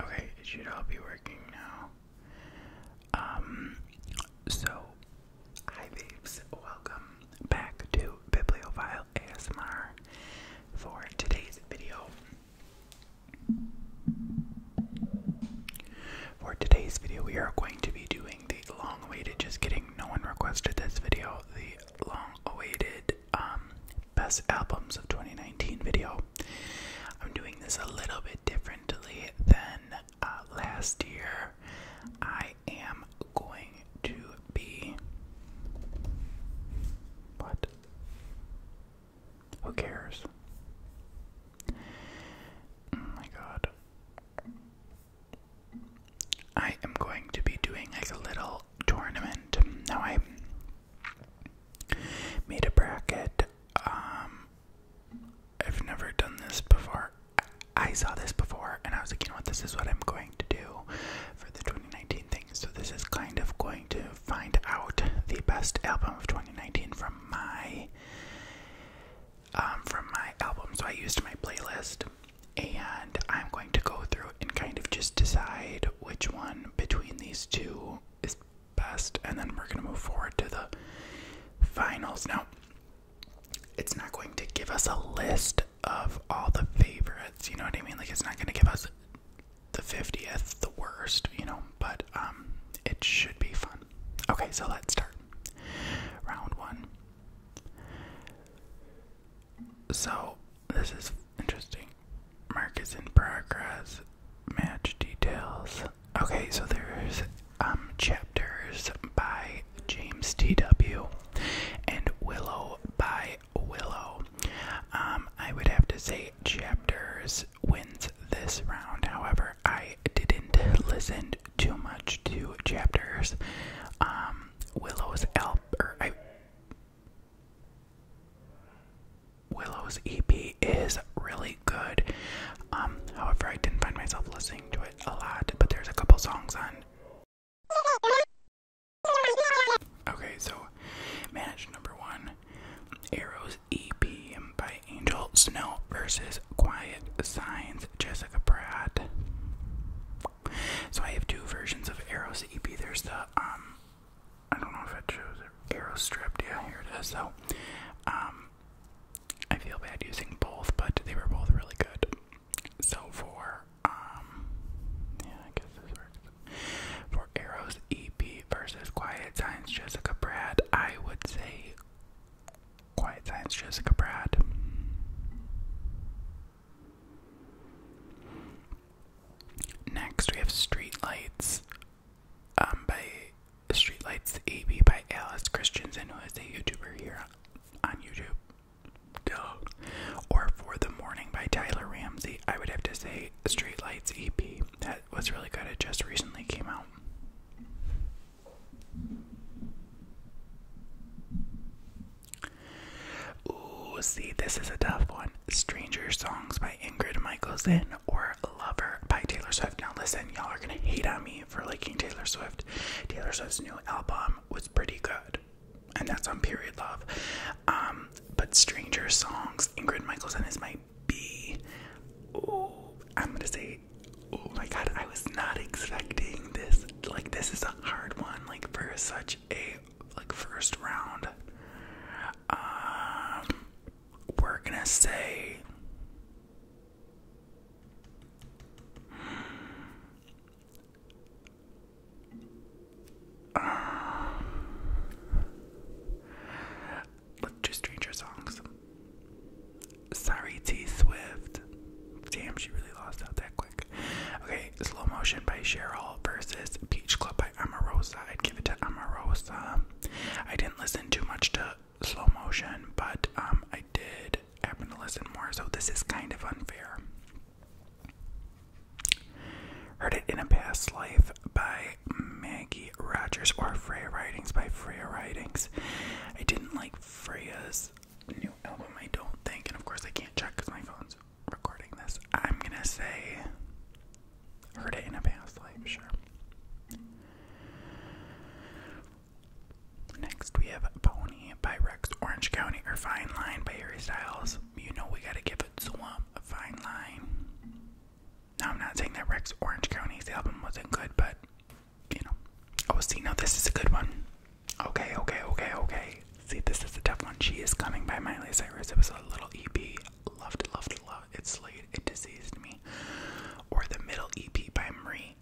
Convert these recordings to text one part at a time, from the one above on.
Okay, it should all be working now. Um, so, hi babes, welcome back to Bibliophile ASMR for today's video. For today's video, we are going to be doing the long awaited, just kidding, no one requested this video, the long awaited um, best albums of 2019 video. I'm doing this a little bit differently than uh, last year. I am going to be. What? Who cares? Oh my god. I am going to be doing like a little tournament. Now I Made a bracket. Um, I've never done this before. I saw this before and I was like, you know what, this is what I'm going to do for the 2019 thing. So, this is kind of going to find out the best album of 2019 from my. Um, from my album, so I used my playlist, and I'm going to go through and kind of just decide which one between these two is best, and then we're going to move forward to the finals. Now, it's not going to give us a list of all the favorites, you know what I mean? Like, it's not going to give us the 50th, the worst, you know, but um, it should be fun. Okay, so let's start. Round one. So, this is Interesting. Mark is in progress. Match details. Okay, so there's um chapters by James T.W. and Willow by Willow. Um, I would have to say chapters wins this round. However, I didn't listen too much to chapters. Um, Willow's album. I Willow's EP is really good. Um, however, I didn't find myself listening to it a lot, but there's a couple songs on. Okay, so managed number one Arrows EP by Angel Snow versus Quiet Signs Jessica Pratt. So I have two versions of Arrows EP. There's the um I don't know if it shows Arrow stripped. Yeah, here it is. So, um, I feel bad using both, but they were both really good. So for um, yeah, I guess this works. For Arrow's EP versus Quiet Science Jessica Brad, I would say Quiet Science Jessica Brad. Next, we have Streetlights um, by Streetlights AB by Alice Christensen, who is a YouTuber here on YouTube. Or For the Morning by Tyler Ramsey. I would have to say Streetlights EP. That was really good. It just recently came out. Ooh, see, this is a tough one. Stranger Songs by Ingrid Michaelson or Lover by Taylor Swift. Now, listen, y'all are gonna hate on me for liking Taylor Swift. Taylor Swift's new album was pretty good, and that's on Period Love. Um, but Stranger Songs, Ingrid Michaelson is my B. Oh, I'm gonna say, oh my god, I was not expecting this. Like, this is a hard one, like, for such a like first round um, we're gonna say. Um, let's do Stranger Songs. Sorry, T Swift. Damn, she really lost out that quick. Okay, Slow Motion by Cheryl versus Peach Club by Amorosa. I'd give it to Amarosa. I didn't listen too much to Slow Motion, but um, I did happen to listen more, so this is kind of unfair. Heard it in a past life by Maggie Rogers or Freya Writings by Freya Writings. I didn't like Freya's new album, I don't think, and of course I can't check because my phone's recording this, I'm gonna say heard it in a past life, sure. Next, we have Pony by Rex Orange County or Fine Line by Harry Styles. You know, we gotta give it Swamp a Fine Line. Now, I'm not saying that Rex Orange County's album wasn't good, but you know, oh, see, now this is a good one. Okay, okay, okay, okay. See, this is the tough one. She is coming by Miley Cyrus. It was a little EP. Loved, loved, loved. It late, It diseased me. Or the middle EP by Marie.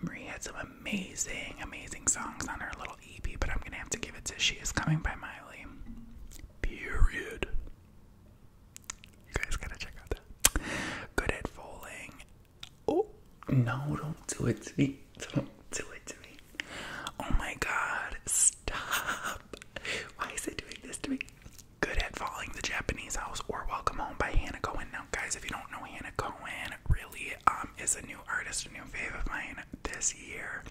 Marie had some amazing, amazing songs on her little EP, but I'm gonna have to give it to She Is Coming by Miley. Period. You guys gotta check out that. Good at falling. Oh no! Don't do it to me. Don't do it to me. Oh my god, stop. Why is it doing this to me? Good at Falling, The Japanese House, or Welcome Home by Hannah Cohen. Now, guys, if you don't know Hannah Cohen, really um, is a new artist, a new fave of mine this year.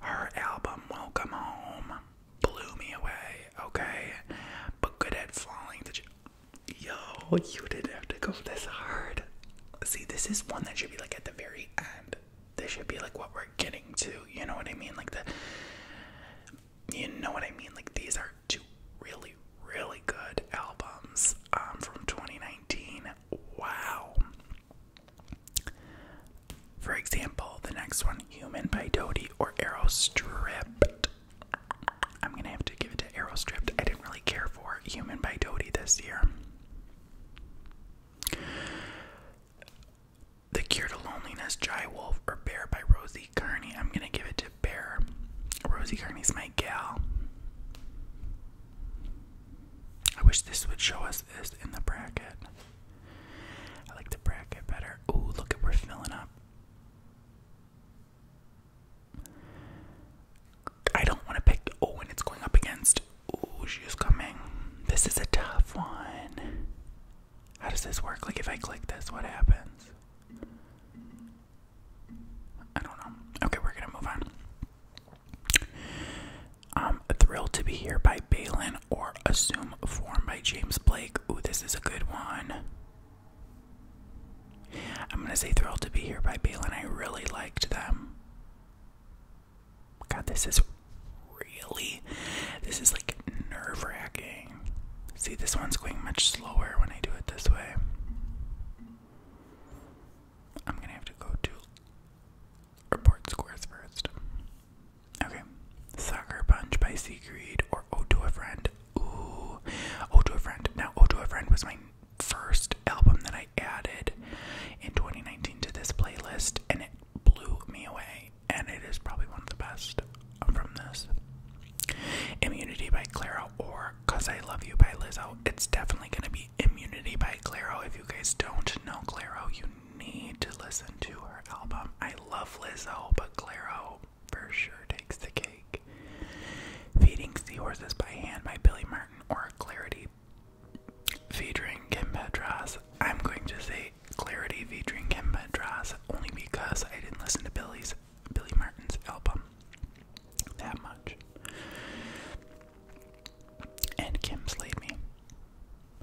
Her album, Welcome Home, blew me away, okay? But Good at Falling, The Yo, you didn't have to go this hard. See, this is one that should be like at the very end. This should be like what we're getting to. You know what I mean? Like the you know what I mean? Like these are two really, really good albums um, from 2019. Wow. For example, the next one, Human by Dodie or Arrow Stripped. I'm gonna have to give it to Arrow Stripped. I didn't really care for Human by Dodie this year. The Cure to Loneliness, Jai Wolf, or Bear by Rosie Kearney. I'm gonna give it to Bear. Rosie Kearney's my gal. I wish this would show us this in the bracket. I like the bracket better. Ooh, look at we're filling up. I don't want to pick Owen. It's going up against Oh, she's coming. This is a tough one. How does this work? Like, if I click this, what happens? I don't know. Okay, we're gonna move on. Um, Thrilled to Be Here by Balin or Assume Form by James Blake. Oh, this is a good one. I'm gonna say Thrilled to Be Here by Balin. I really liked them. God, this is really, this is like nerve wracking. See, this one's going much slower when I do it this way. I'm gonna have to go to report scores first. Okay, Soccer Punch by Siegfried or Ode to a Friend. Ooh, Ode to a Friend. Now, Ode to a Friend was my first album that I added in 2019 to this playlist, and it blew me away. And it is probably one of the best from this. Immunity by Claro or Cause I Love You by Lizzo. It's definitely going to be Immunity by Claro. If you guys don't know Claro, you need to listen to her album. I love Lizzo, but Claro for sure takes the cake. Feeding Seahorses by Hand by Billy Martin or Clarity featuring Kim I'm going to say Clarity featuring Kim Petras only because I didn't listen to Billy's Billy Martin's album that much. And Kim slayed me.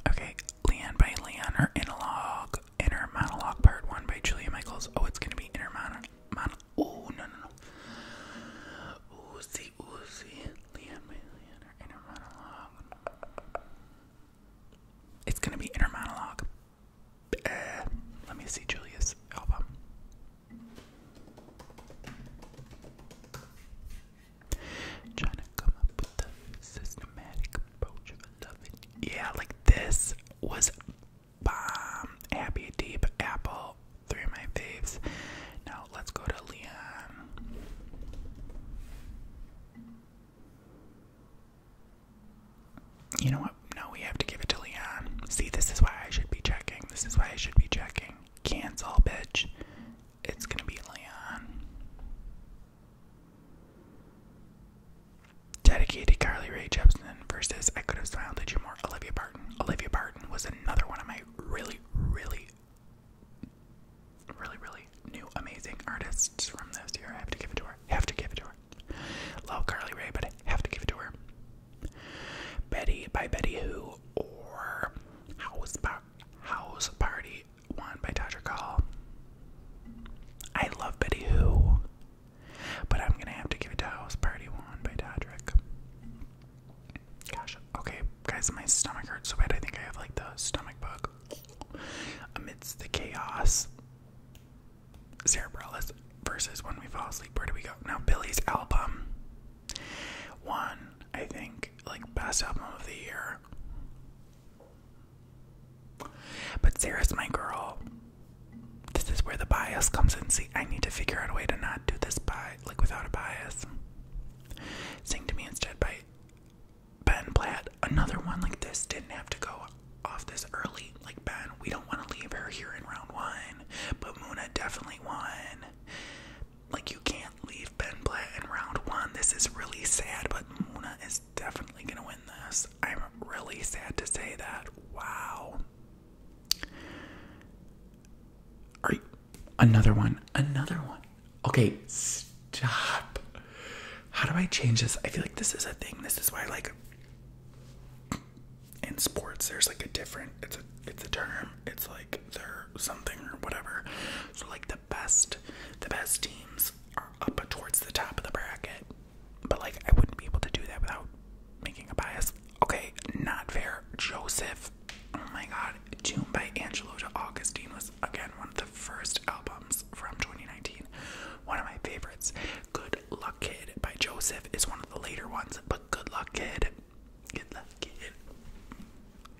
Okay, Leanne by Leanne, her analog, inner monologue part one by Julia Michaels. Oh, it's gonna be inner monologue. Mon- oh no no no. Oozy oozy. It's gonna be inner monologue. Eh, let me see Julia's album. Trying to come up with a systematic approach of loving. Yeah, like this was bomb. Happy Deep Apple three of my faves. Now let's go to Leon. You know what? No, we have to give it to Leon. See, this is why I should be checking. This is why I should be checking. Cancel, bitch. It's gonna be Leon. Dedicated Carly Rae Jepsen versus I Could Have Smiled at You More, Olivia Barton. Olivia Barton was another one of my really, really, really, really new amazing artists from this year. I have to give it to her. Have to give it to her. Love Carly Rae, but I have to give it to her. Betty by Betty Who or House Party One by Tasha Call. I love Betty Who, but I'm gonna have to give it to House Party One by Todrick. Gosh, okay, guys, my stomach hurts so bad. I think I have like the stomach bug. Amidst the chaos, Sarah Bareilles versus When We Fall Asleep. Where do we go now? Billy's album one, I think, like best album of the year. But Sarah's my girl. This is where the bias comes in. See, I need to figure out a way to not do this by like without a bias. Sing to Me Instead by Ben Platt. Another one like this didn't have to go off this early. Like, Ben, we don't want to leave her here in round one, but Muna definitely won. Like, you can't leave Ben Platt in round one. This is really sad, but Muna is definitely going to win this. I'm really sad to say that. Wow. Are another one? Another one? Okay, stop. How do I change this? I feel like this is a thing. This is why, like, in sports, there's like a different. It's a it's a term. It's like they're something or whatever. So like the best, the best teams are up towards the top of the bracket. But like I wouldn't be able to do that without making a bias. Okay, not fair. Joseph. Oh my god. June by Angelo to Augustine was again one of the first albums from 2019. One of my favorites. Good Luck Kid by Joseph is one of the later ones, but Good Luck Kid. Good Luck Kid.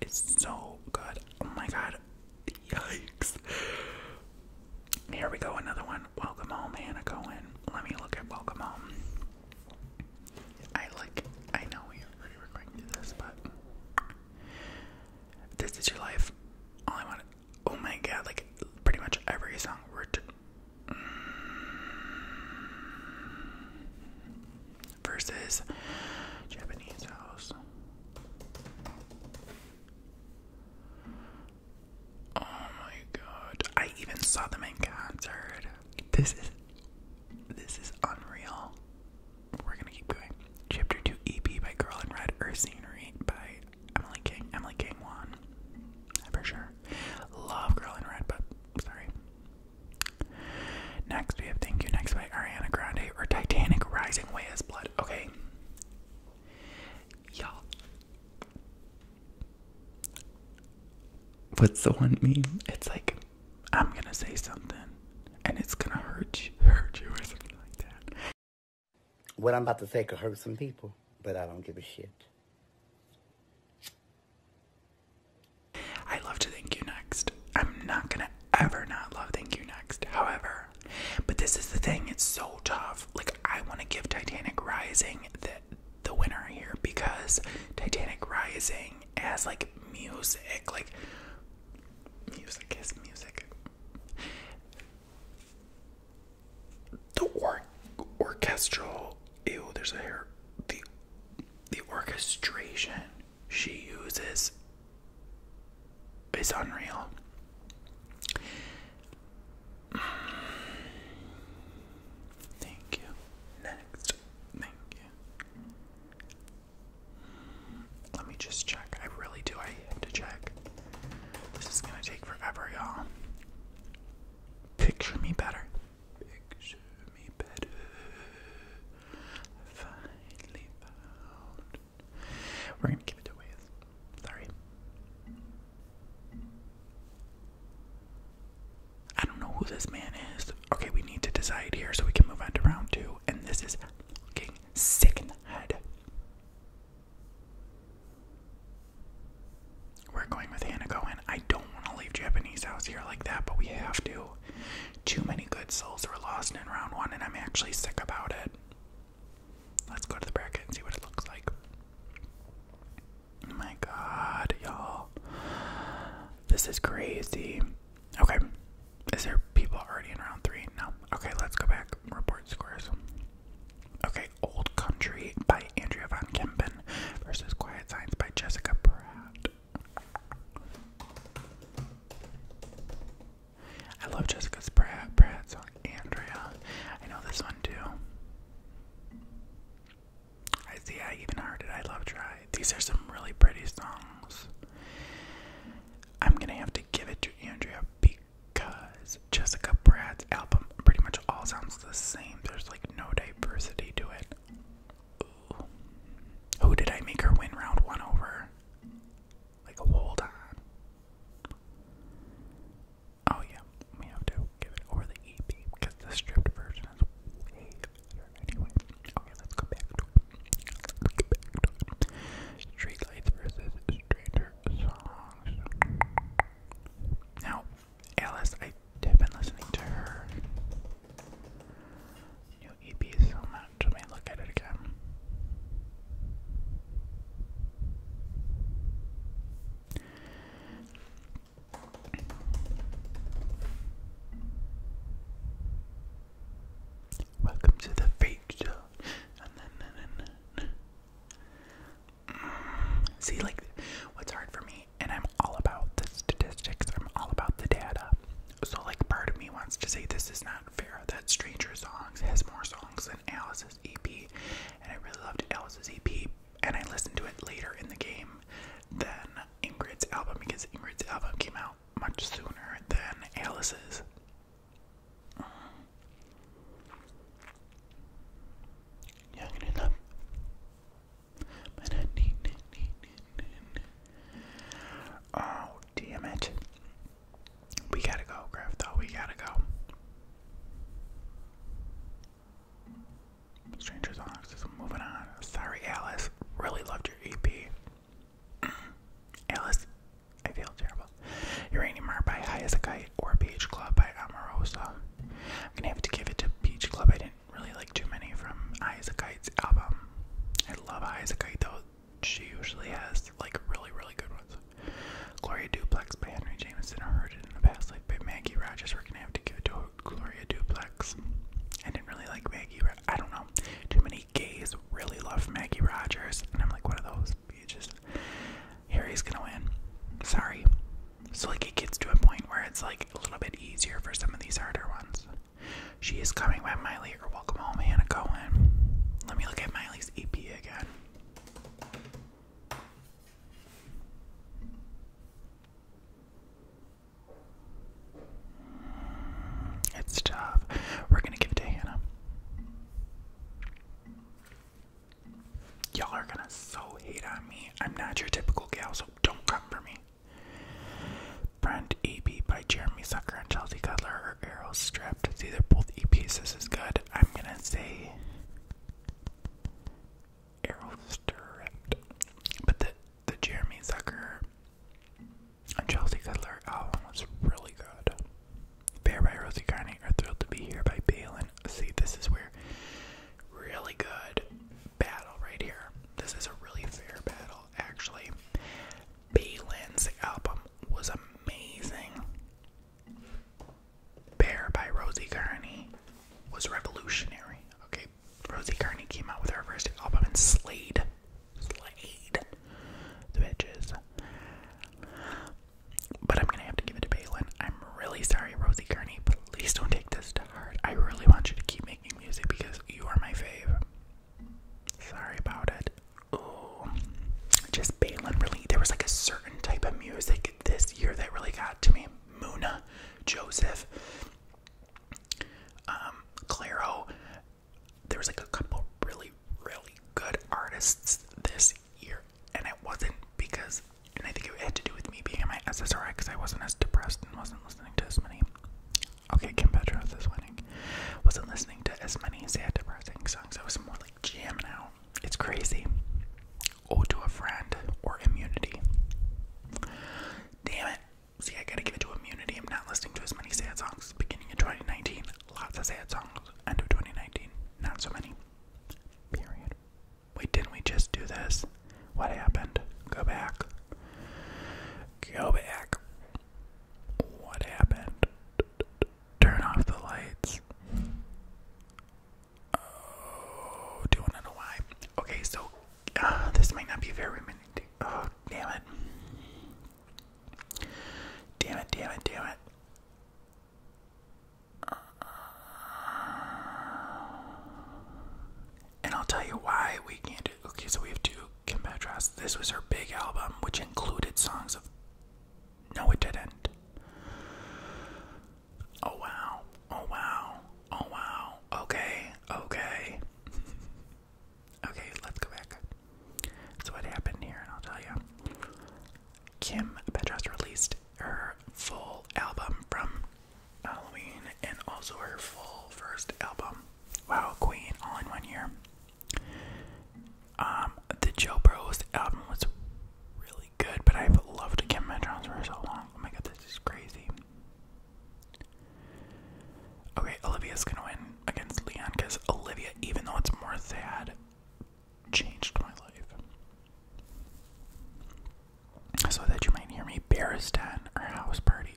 It's so good. Oh my god. Yikes. Here we go, another one. Welcome home, Hannah Cohen. Let me look at Welcome Home. I like I know we already were going to this, but this is your life. All I want. Oh my god! Like pretty much every song versus Japanese house. Oh my god! I even saw them in concert. This is this is unreal. We're gonna keep going. Chapter 2 EP by Girl in Red, Earth Scenery by Emily King. Emily King won. For sure. Love Girl in Red, but sorry. Next we have Thank You Next by Ariana Grande or Titanic Rising Way as Blood. Okay. Y'all. What's the one meme? It's like I'm gonna say something and it's gonna hurt you, hurt you or something like that. What I'm about to say could hurt some people, but I don't give a shit. I love to thank you next. I'm not gonna ever not love thank you next, however. But this is the thing, it's so tough. Like I wanna give Titanic Rising that the winner here because Titanic Rising has like music, like music is music. The or orchestral, ew, there's a hair. The the orchestration she uses is unreal. Thank you. Next. Thank you. Let me just check. I really do. I have to check. This is gonna take forever, y'all. Picture me better. Picture me better. finally found. We're gonna give it away. Sorry. I don't know who this man is. Okay, we need to decide here so we can move on to round two. And this is looking sick in the head. We're going with Hannah Cohen. I don't want to leave Japanese house here like that, but we have to. Too many good souls were lost in round one, and I'm actually sick about it. Let's go to the bracket and see what it looks like. Oh my god, y'all. This is crazy. Okay. Is there people already in round three? No. Okay, let's go back. Report scores. Okay, Old Country by Andrea Van Kempen versus Quiet Science" by Jessica Pratt. I love Jessica Pratt, Pratt's on Andrea. I know this one too. I see I even heard it. I love try. These are some really pretty songs. I'm gonna have to give it to Andrea because Jessica Pratt's album pretty much all sounds the same. There's like no diversity to it. Who did I make her win round one over? Like hold on. Oh yeah, we have to give it over the EP because the stripped version is way better anyway. Okay, let's go back to Streetlights versus Stranger Songs. Now, Alice, I have been listening to her new EP so much. Let me look at it again. Welcome to the feature. Mm, see, like, what's hard for me, and I'm all about the statistics, I'm all about the data. So, like, part of me wants to say this is not fair that Stranger Songs has more songs than Alice's EP, and I really loved Alice's EP, and I listened to it later in the game than Ingrid's album because Ingrid's album came out much sooner than Alice's. Uh, oh, damn it. We gotta go, Griff, We gotta go. Strangers on Oxys, moving on. Sorry, Alice. Really loved your EP. Alice, I feel terrible. Uranium Heart by High Kite or Beach Club by Amorosa. I'm gonna have to give it to Beach Club. I didn't really like too many from High Kite's album. I love High Kite though. She usually has like really, really good ones. Gloria Duplex by Henry Jameson heard it in the past, like, but Maggie Rogers, we're gonna have to give it to Gloria Duplex. I didn't really like Maggie. I don't know. Too many gays really love Maggie Rogers, and I'm like one of those. just Harry's gonna win. Sorry. So like it gets to a point where it's like a little bit easier for some of these harder ones. She is coming by Miley or Welcome Home oh, Hannah Cohen. Let me look at Miley's EP again. It's tough. We're gonna give it to Hannah. Y'all are gonna so hate on me. I'm not your typical gal, so don't come for me. Brand EP by Jeremy Zucker and Chelsea Cutler or Arrow Stripped. It's either both EPs. This is good. I'm gonna say Errol Strift. But the the Jeremy Zucker and Chelsea Cutler album was really good. Bear by Rosie Carney Thrilled to Be Here by Balin. See, this is where really good battle right here. This is a really fair battle, actually. Balin's album was amazing. Bear by Rosie Kearney was revolutionary. Okay, Rosie Kearney came out with her first album and slayed. Slayed the bitches. But I'm gonna have to give it to Balin. I'm really sorry, Rosie Kearney. Please don't take this to heart. I really want you to keep making music because you are my fave. Sorry about it. Oh, just Balin really. There was like a certain type of music this year that really got to me. Muna, Joseph, um, Claro. There was like a couple really, really good artists this year, and it wasn't because, and I think it had to do with me being in my SSRI because I wasn't as depressed and wasn't listening to as many. Okay, Kim Petras is winning. Wasn't listening to as many sad, depressing songs. I was more like jamming out. It's crazy. Owe to a friend or immunity. Damn it. See, I gotta give it to immunity. I'm not listening to as many sad songs. Beginning of 2019, lots of sad songs. End of 2019, not so many. Period. Wait, didn't we just do this? What happened? Go back. Go back. What happened? Turn off the lights. Oh, do I know why? Okay, so uh, this might not be very many. Oh, damn it! Damn it! Damn it! Damn it! and I'll tell you why we can't do. Okay, so we have two Kim Petras. This was her big album, which included songs of no, it didn't. Oh wow. Oh wow. Oh wow. Okay. Okay. okay, let's go back. So what happened here, and I'll tell you. Kim Petras released her full album from Halloween and also her full first album. Wow, Queen, all in one year. Um, the Joe Bros album was really good, but I've loved Kim Metrons for so long. Oh my god, this is crazy. Okay, Olivia's gonna win against Leon because Olivia, even though it's more sad, changed my life. So that you might hear me, Barristan, or house party.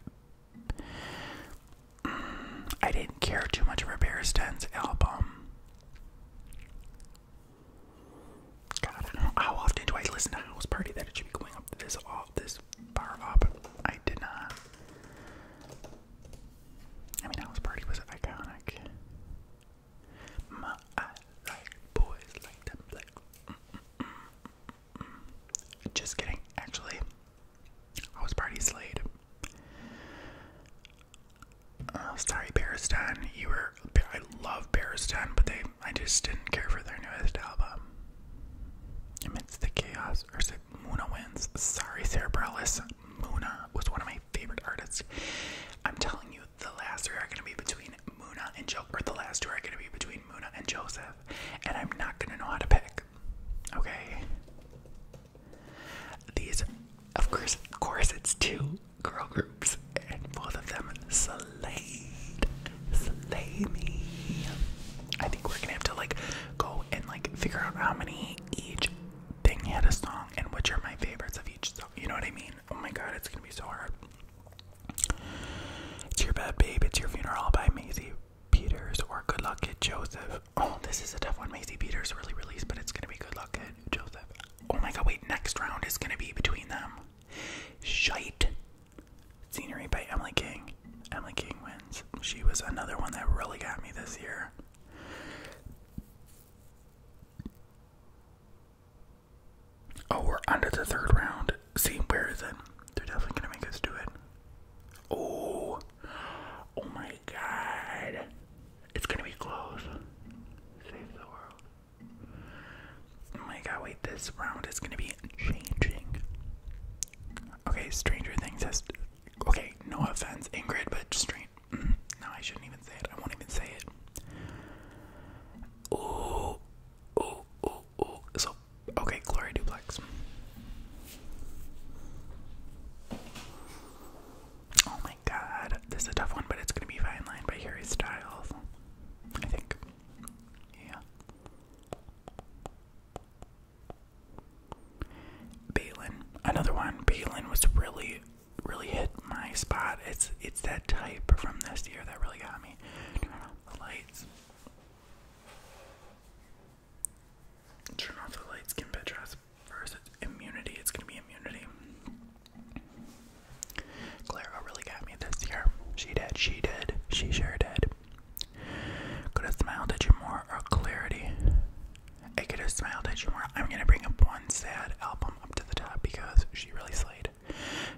Mm, I didn't care too much for Barristan's album. God, How often do I listen to House Party that it should be going up this off this far up? I did not. I mean, House Party was iconic. My, I boys like them, Just kidding. Actually, House Party slayed. Oh, sorry, Bearistan. You were. I love Bearistan, but they. I just didn't care for their newest album. Amidst the chaos, or is it Muna wins? Sorry, Cerebralis. Muna was one of my favorite artists. I'm telling you, the last three are gonna be between Muna and Joe, or the last two are gonna be between Muna and Joseph, and I'm not gonna know how to pick. Okay. These of course, of course, it's two girl groups, and both of them slayed. Slay me. I think we're gonna have to like go and like figure out how many each thing had a song and which are my favorites of each song. You know what I mean? Oh my god, it's gonna be so hard. It's your bad babe, it's your funeral by Maisie Peters or Good Luck Kid Joseph. Oh, this is a tough one. Macy Peters really released, but it's gonna be Good Luck Kid Joseph. Oh my god, wait, next round is gonna be between them. Shite. Scenery by Emily King. Emily King wins. She was another one that really got me this year. Oh, we're under the third round. See, where is it? They're definitely gonna make us do it. Oh, oh my god. It's gonna be close. Save the world. Oh my god, wait, this round is gonna be changing. Okay, Stranger Things Okay, no offense, Ingrid, but Stranger. Mm, no, I shouldn't even say it. I won't even say it. Oh, oh, oh, oh. So, okay, Glory Duplex. Oh my god. This is a tough one, but it's gonna be Fine Line by Harry Styles. I think. Yeah. Balin. Another one. Balin was really really hit my spot. It's it's that type from this year that really got me. Turn off the lights. Turn off the lights, Kim Petras defense versus immunity. It's going to be immunity. Clara really got me this year. She did, she did, she sure did. Could have smiled at you more or clarity. I could have smiled at you more. I'm going to bring up one sad album up to the top because she really slayed.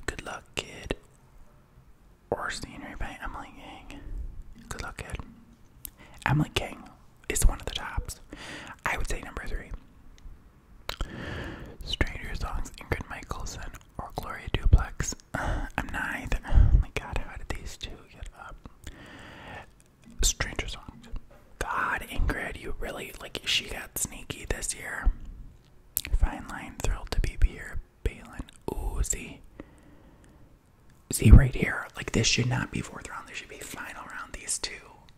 Good luck, kid. Or scenery by Emily King. Good luck, kid. Emily King it's one of the tops. I would say number three. Stranger songs, Ingrid Michaelson or Gloria Duplex. I'm neither. Oh my god, how did these two get up? Stranger songs. God, Ingrid, you really like she got sneaky this year. Fine line, thrilled to be here. Balin, ooh, see, right here. Like this should not be fourth round. There should be final round. These two.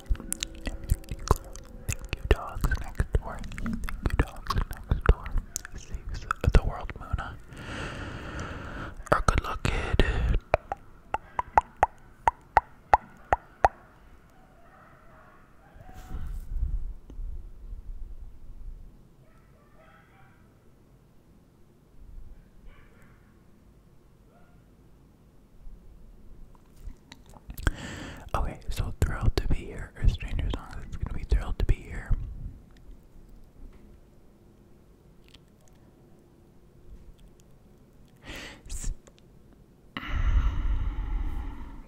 Thank you, dogs next door. Thank you, dogs next door. Saves the world, Muna. Or good luck, kid. Okay, so thrilled to be here. Or strangers on it's gonna be thrilled to be here.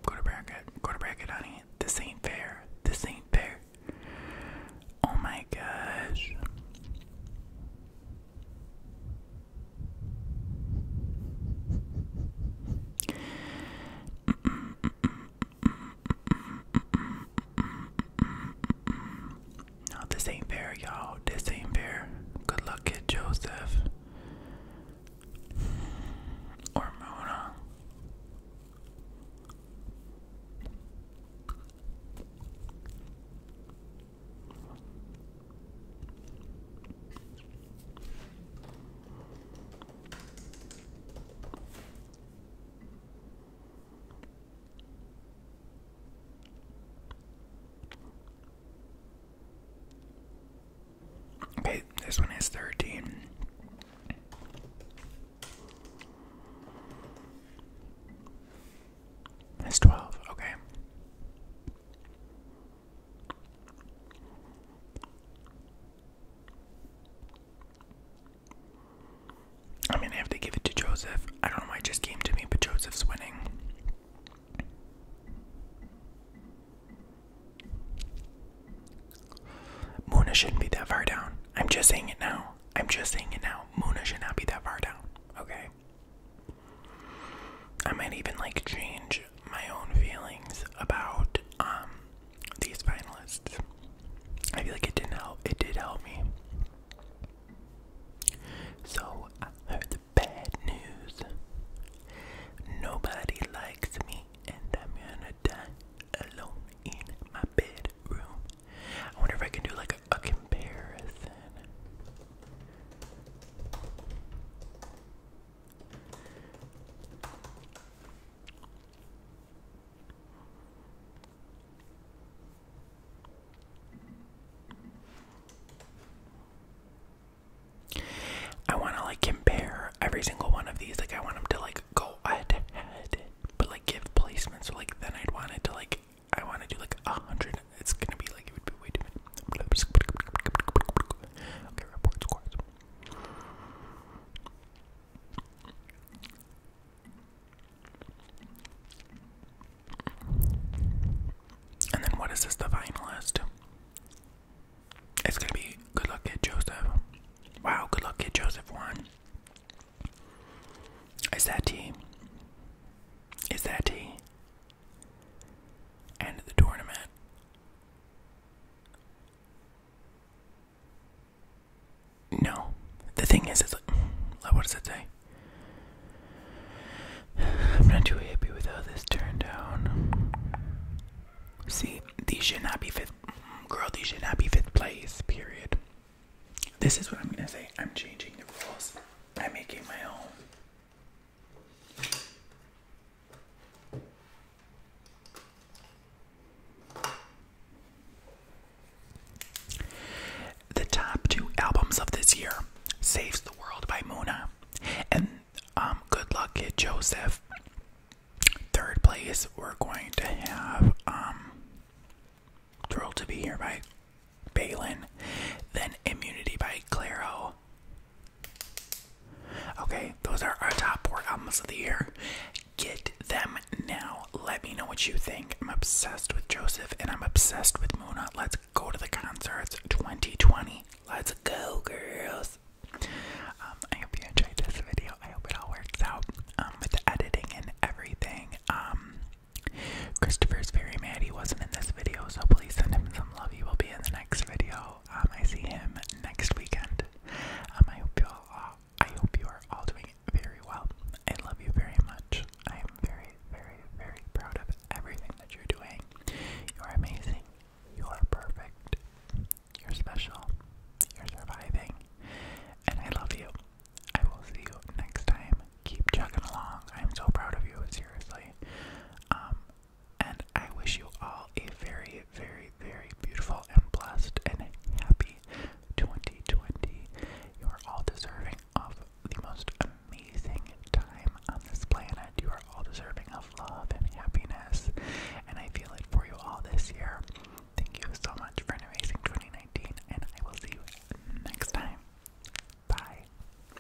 go to bracket, go to bracket, honey. This ain't fair. This ain't fair. Oh my gosh. No, this ain't fair, y'all. This ain't fair. Good luck, kid Joseph. Or Mona. Okay, this one is 13. It's 12, okay. I mean, have to give it to Joseph. I don't know why it just came to me, but Joseph's winning. Muna shouldn't be that far down. I'm just saying it now. I'm just saying it now. Muna should not be that far down. Okay? I might even like change my own feelings about um, these finalists. I feel like it didn't help. It did help me. So I heard the bad news. Nobody likes me, and I'm gonna die alone in my bedroom. I wonder if I can do like a comparison. I want to like compare every single one of these. Like, I want them to like go head to head, but like give placements. like, then I'd want it to like, I want to do like a hundred. It's gonna be like, it would be way too many and then what is this divine list? It's gonna be good luck kid Joseph. Wow, good luck kid Joseph one. Is that T? Is that T? End of the tournament. No. The thing is, it's like, what does it say? I'm not too happy with how this turned out. See, these should not be fifth. Girl, these should not be fifth place, period. This is what I'm gonna say. I'm changing the rules. I'm making my own. The top two albums of this year Saves the World by Muna and um, Good Luck Kid Joseph. Third place, we're going to have um, Thrilled to Be Here by Balin, then Immunity by Clairo, Okay, those are our top four albums of the year. Get them now. Let me know what you think. I'm obsessed with Joseph and I'm obsessed with Muna. Let's go to the concerts 2020. Let's go, girls. Um, I hope you enjoyed this video. I hope it all works out um, with editing and everything. Um, Christopher's very mad he wasn't in this video, so please send him Lovey will be in the next video. Um, I see him next weekend. Um, I hope you all, uh, I hope you are all doing very well. I love you very much. I am very, very, very proud of everything that you're doing. You are amazing. You are perfect. You're special. You're surviving. And I love you. I will see you next time. Keep chugging along. I'm so proud of you, seriously. Um, and I wish you all a very, very, very beautiful and blessed and happy 2020. You are all deserving of the most amazing time on this planet. You are all deserving of love and happiness, and I feel it for you all this year. Thank you so much for an amazing 2019, and I will see you next time. Bye.